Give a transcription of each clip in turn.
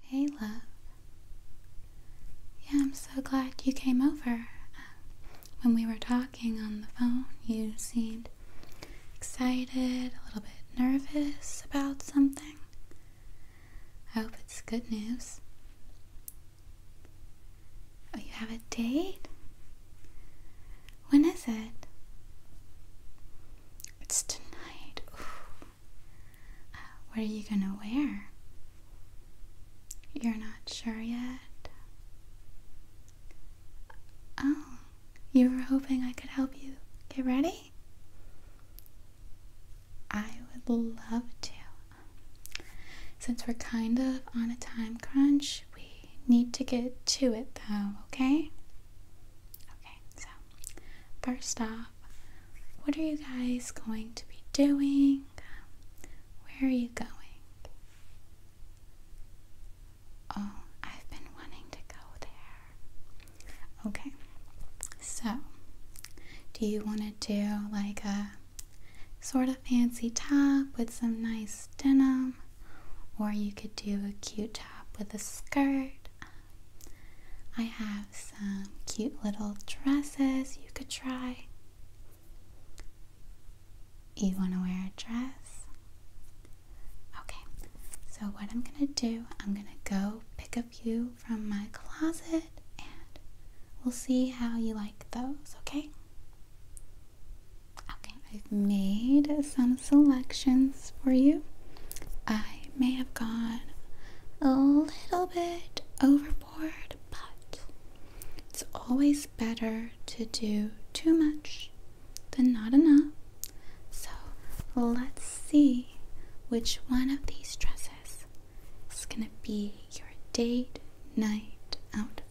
Hey, love. Yeah, I'm so glad you came over. when we were talking on the phone, you seemed excited, a little bit nervous about something. I hope it's good news. Oh, you have a date? When is it? It's tonight what are you gonna wear? You're not sure yet? Oh, you were hoping I could help you get ready? I would love to. Since we're kind of on a time crunch, we need to get to it though, Okay so first off, what are you guys going to be doing? Where are you going? Oh, I've been wanting to go there. Okay, so do you want to do like a sort of fancy top with some nice denim? Or you could do a cute top with a skirt. I have some cute little dresses you could try. You want to wear a dress? Okay, so what I'm going to do, I'm going to go pick a few from my closet and we'll see how you like those, okay? Okay, I've made some selections for you. I I may have gone a little bit overboard, but it's always better to do too much than not enough. So let's see which one of these dresses is going to be your date night outfit.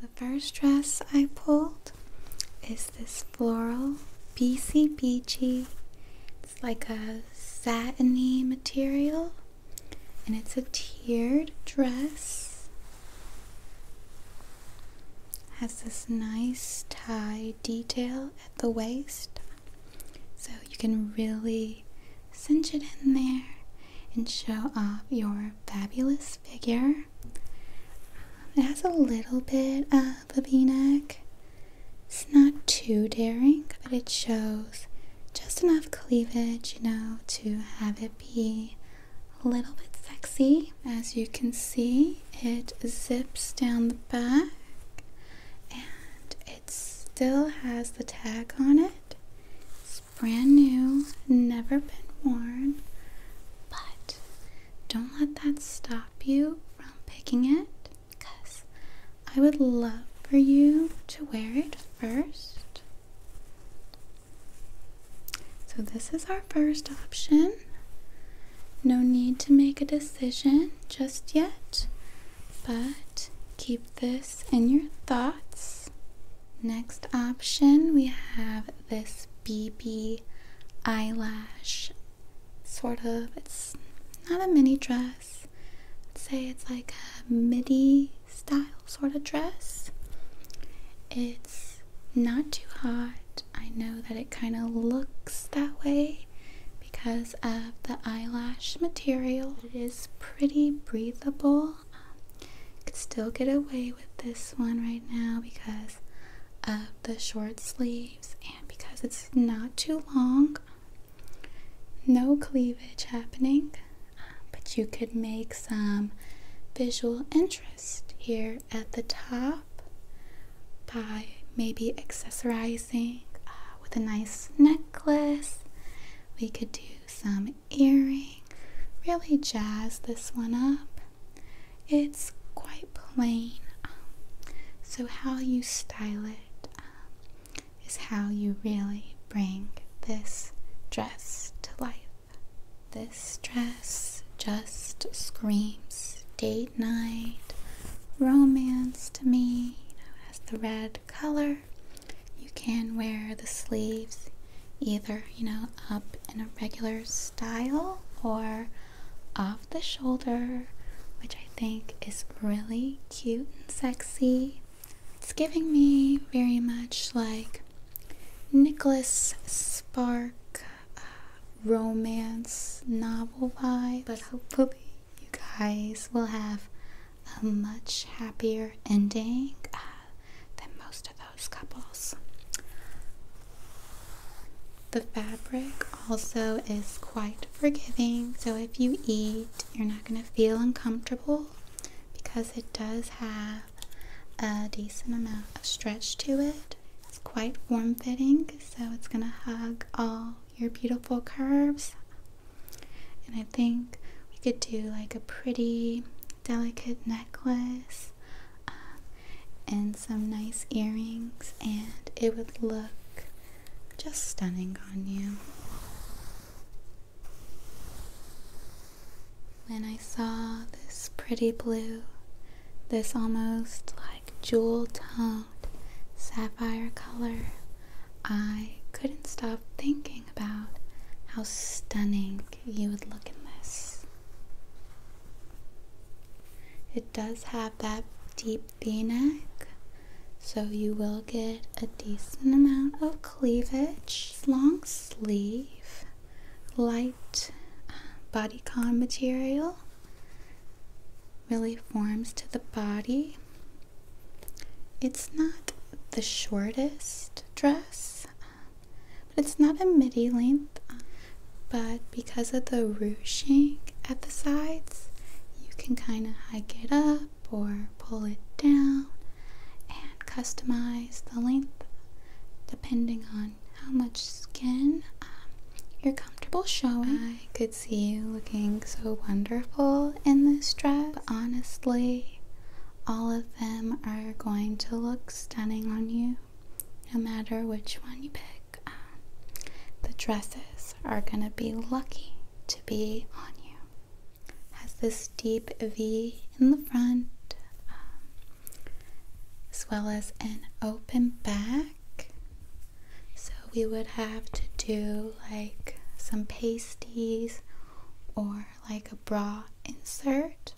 The first dress I pulled is this floral BCBG it's like a satiny material and it's a tiered dress. Has this nice tie detail at the waist. So you can really cinch it in there and show off your fabulous figure. It has a little bit of a v neck, it's not too daring, but it shows just enough cleavage, you know, to have it be a little bit sexy. As you can see, it zips down the back and it still has the tag on it. It's brand new, never been worn, but don't let that stop you from picking it because I would love for you to wear it first. So, this is our first option. No need to make a decision just yet, but keep this in your thoughts. Next option, we have this BB eyelash sort of. It's not a mini dress, Let's say it's like a midi style sort of dress. It's not too hot. I know that it kind of looks that way because of the eyelash material. It is pretty breathable. Um, could still get away with this one right now because of the short sleeves and because it's not too long. No cleavage happening, uh, but you could make some visual interest here at the top by maybe accessorizing uh, with a nice necklace. We could do some earrings. really jazz this one up. It's quite plain, um, so how you style it um, is how you really bring this dress to life. This dress just screams date night, romance to me. You know, it the red color. You can wear the sleeves either, you know, up in a regular style or off the shoulder, which think is really cute and sexy. It's giving me very much like Nicholas Spark uh, romance novel vibe, but hopefully you guys will have a much happier ending uh, than most of those couples. The fabric also is quite forgiving, so if you eat, you're not going to feel uncomfortable because it does have a decent amount of stretch to it. It's quite form fitting, so it's going to hug all your beautiful curves. And I think we could do like a pretty delicate necklace uh, and some nice earrings, and it would look just stunning on you. When I saw this pretty blue, this almost like jewel toned sapphire color, I couldn't stop thinking about how stunning you would look in this. It does have that deep deep v-neck so you will get a decent amount of cleavage long sleeve light uh, bodycon material really forms to the body it's not the shortest dress uh, but it's not a midi length uh, but because of the ruching at the sides you can kind of hike it up or pull it down and customize the length depending on how much skin um, you're comfortable showing. I could see you looking so wonderful in this dress, honestly, all of them are going to look stunning on you no matter which one you pick. Um, the dresses are going to be lucky to be on you. Has this deep V in the front, um, as well as an open back. So we would have to do like some pasties or like a bra insert,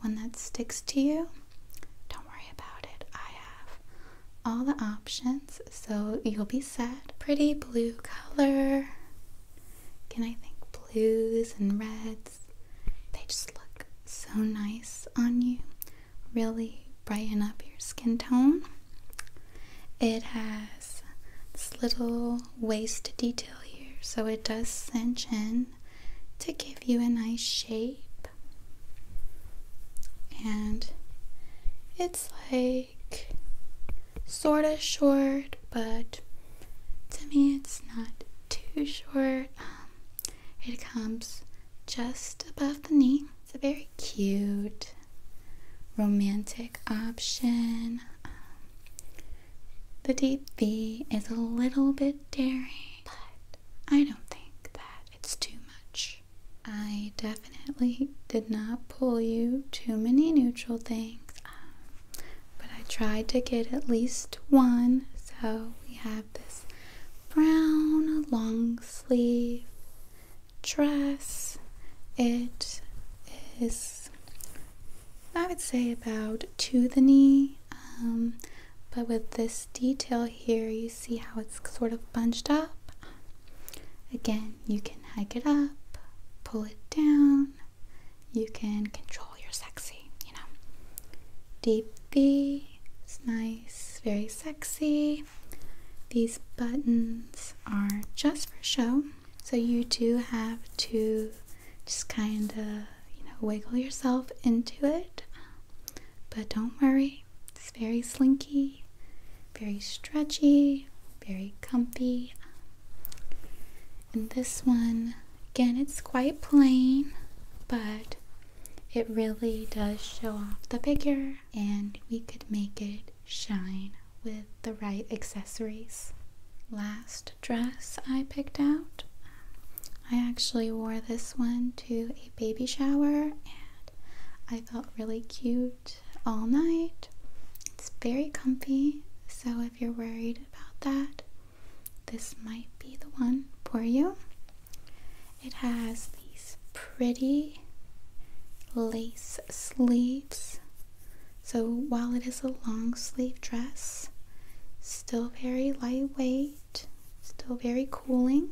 one that sticks to you. Don't worry about it. I have all the options. So you'll be set. Pretty blue color. Can I think blues and reds? They just look so nice on you. Really brighten up your skin tone. It has this little waist detail here, so it does cinch in to give you a nice shape. And it's like sort of short, but to me it's not too short. Um, it comes just above the knee. It's a very cute, romantic option. Um, the deep V is a little bit daring, but I don't think that it's too much. I definitely definitely did not pull you too many neutral things. Um, but I tried to get at least one. So we have this brown long sleeve dress. It is, I would say, about to the knee. Um, but with this detail here, you see how it's sort of bunched up. Again, you can hike it up, pull it down, you can control your sexy, you know. Deep V is nice, very sexy. These buttons are just for show, so you do have to just kind of, you know, wiggle yourself into it. But don't worry, it's very slinky, very stretchy, very comfy. And this one, again, it's quite plain, but it really does show off the figure, and we could make it shine with the right accessories. Last dress I picked out, I actually wore this one to a baby shower, and I felt really cute all night. It's very comfy, so if you're worried about that, this might be the one for you. It has these pretty lace sleeves. So while it is a long sleeve dress, still very lightweight, still very cooling.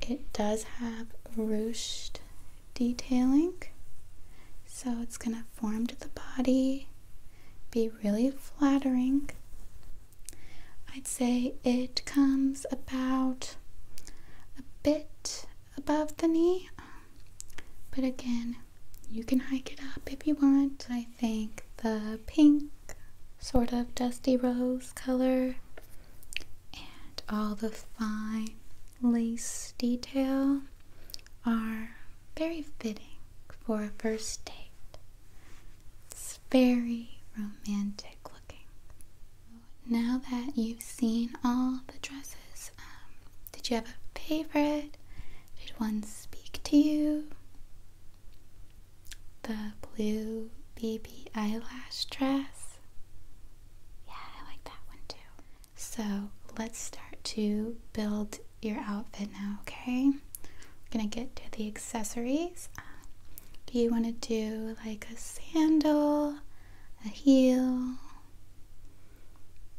It does have ruched detailing, so it's going to form to the body, be really flattering. I'd say it comes about a bit above the knee, but again, you can hike it up if you want. I think the pink, sort of dusty rose color and all the fine lace detail are very fitting for a first date. It's very romantic looking. Now that you've seen all the dresses, um, did you have a favorite? Did one speak to you? The blue BB eyelash dress yeah, I like that one too. So let's start to build your outfit now, okay? We're gonna get to the accessories. Uh, do you want to do like a sandal, a heel?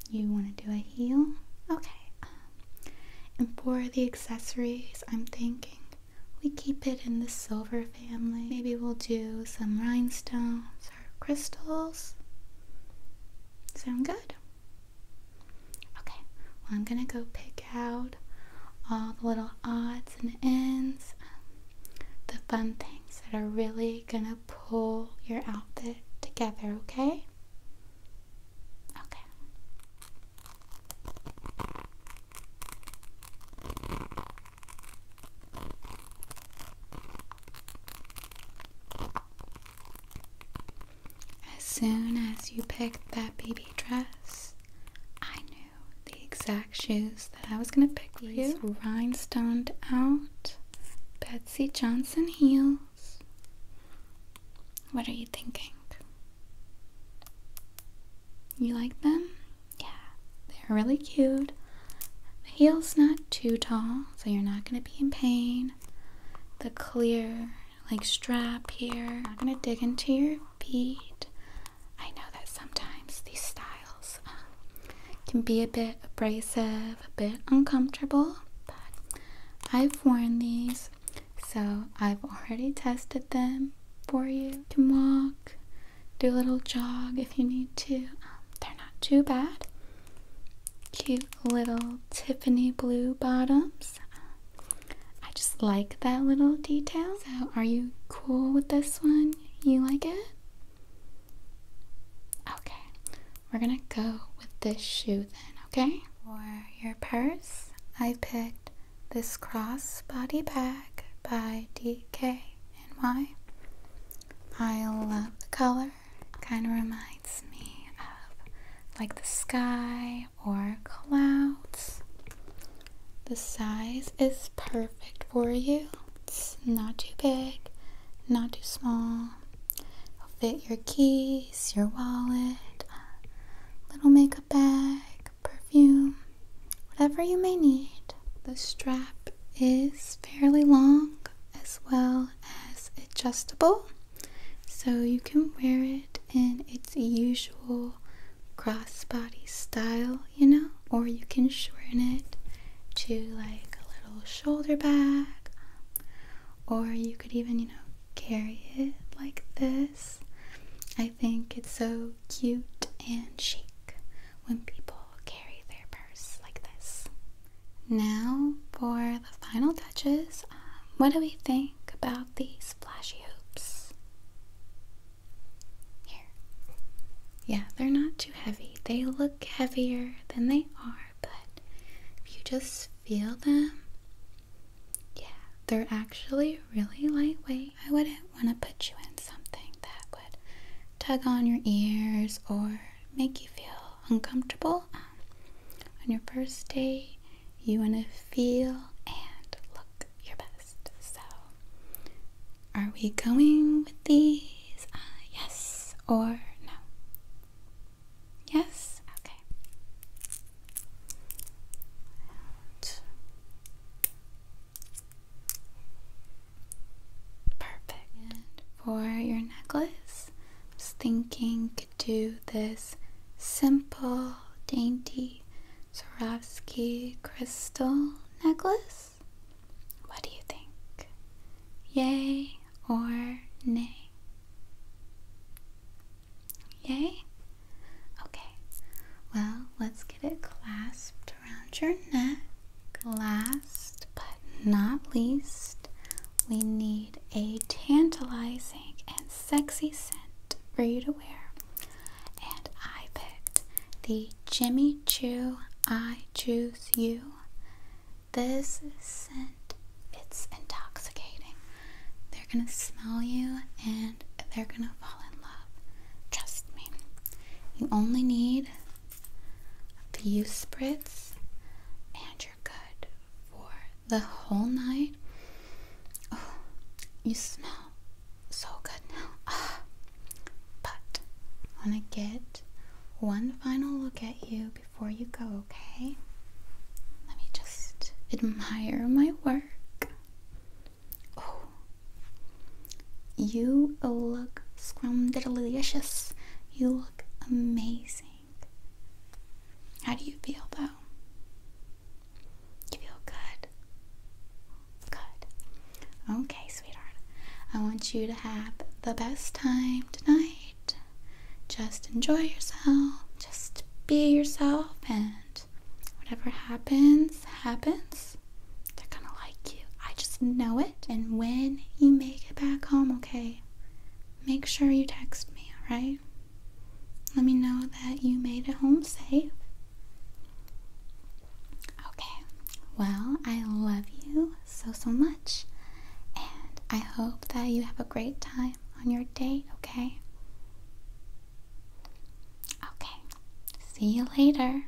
You want to do a heel? Okay. Um, and for the accessories, I'm thinking we keep it in the silver family. Maybe we'll do some rhinestones or crystals. Sound good? Okay, I'm gonna go pick out all the little odds and ends, the fun things that are really gonna pull your outfit together, okay? Okay. As soon as you picked that baby dress, I knew the exact shoes that I was gonna pick for These you. Rhinestoned out Betsy Johnson heels. What are you thinking? You like them? Yeah, they're really cute. The heel's not too tall, so you're not going to be in pain. The clear, like, strap here, I'm going to dig into your feet. I know that sometimes these styles um, can be a bit abrasive, a bit uncomfortable, but I've worn these, so I've already tested them for You can walk do a little jog if you need to. Um, they're not too bad. Cute little Tiffany blue bottoms. I just like that little detail. So, are you cool with this one? You like it? Okay, we're gonna go with this shoe then, okay? For your purse, I picked this crossbody bag by DK and why? I love the color. Kind of reminds me of like the sky or clouds. The size is perfect for you. It's not too big, not too small. It'll fit your keys, your wallet, little makeup bag, perfume whatever you may need. The strap is fairly long as well as adjustable, so you can wear it in its usual crossbody style, you know, or you can shorten it to like a little shoulder bag, or you could even, you know, carry it like this. I think it's so cute and chic when people carry their purse like this. Now for the final touches. Um, what do we think about these flashy hoops? Here. Yeah, they're not too heavy. They look heavier than they are, but if you just feel them, yeah, they're actually really lightweight. I wouldn't want to put you in something that would tug on your ears or make you feel uncomfortable um, on your first day, you want to feel and look your best. So, are we going with these? Uh, yes or no? Yes? Okay. Perfect. for your necklace, I was thinking could do this simple, dainty Swarovski crystal necklace. What do you think? Yay or nay? Yay? Okay, well, let's get it clasped around your neck. Last but not least, we need a tantalizing and sexy scent for you to wear. And I picked the Jimmy Choo I Choose You. This scent, it's intoxicating. They're gonna smell you and they're gonna fall in love. Trust me. You only need a few spritz, and you're good for the whole night. Oh, you smell so good now. Ah, but I want to get one final look at you before you go, okay? Let me just admire my work. Oh, you look scrumdiddlyicious. You look amazing. How do you feel though? You feel good? Good. Okay, sweetheart. I want you to have the best time tonight. Just enjoy yourself. Just be yourself and whatever happens, happens. They're gonna like you. I just know it. And when you make it back home, okay, make sure you text me, alright? Let me know that you made it home safe. Okay, well, I love you so, so much. And I hope that you have a great time on your date, okay? Okay, see you later.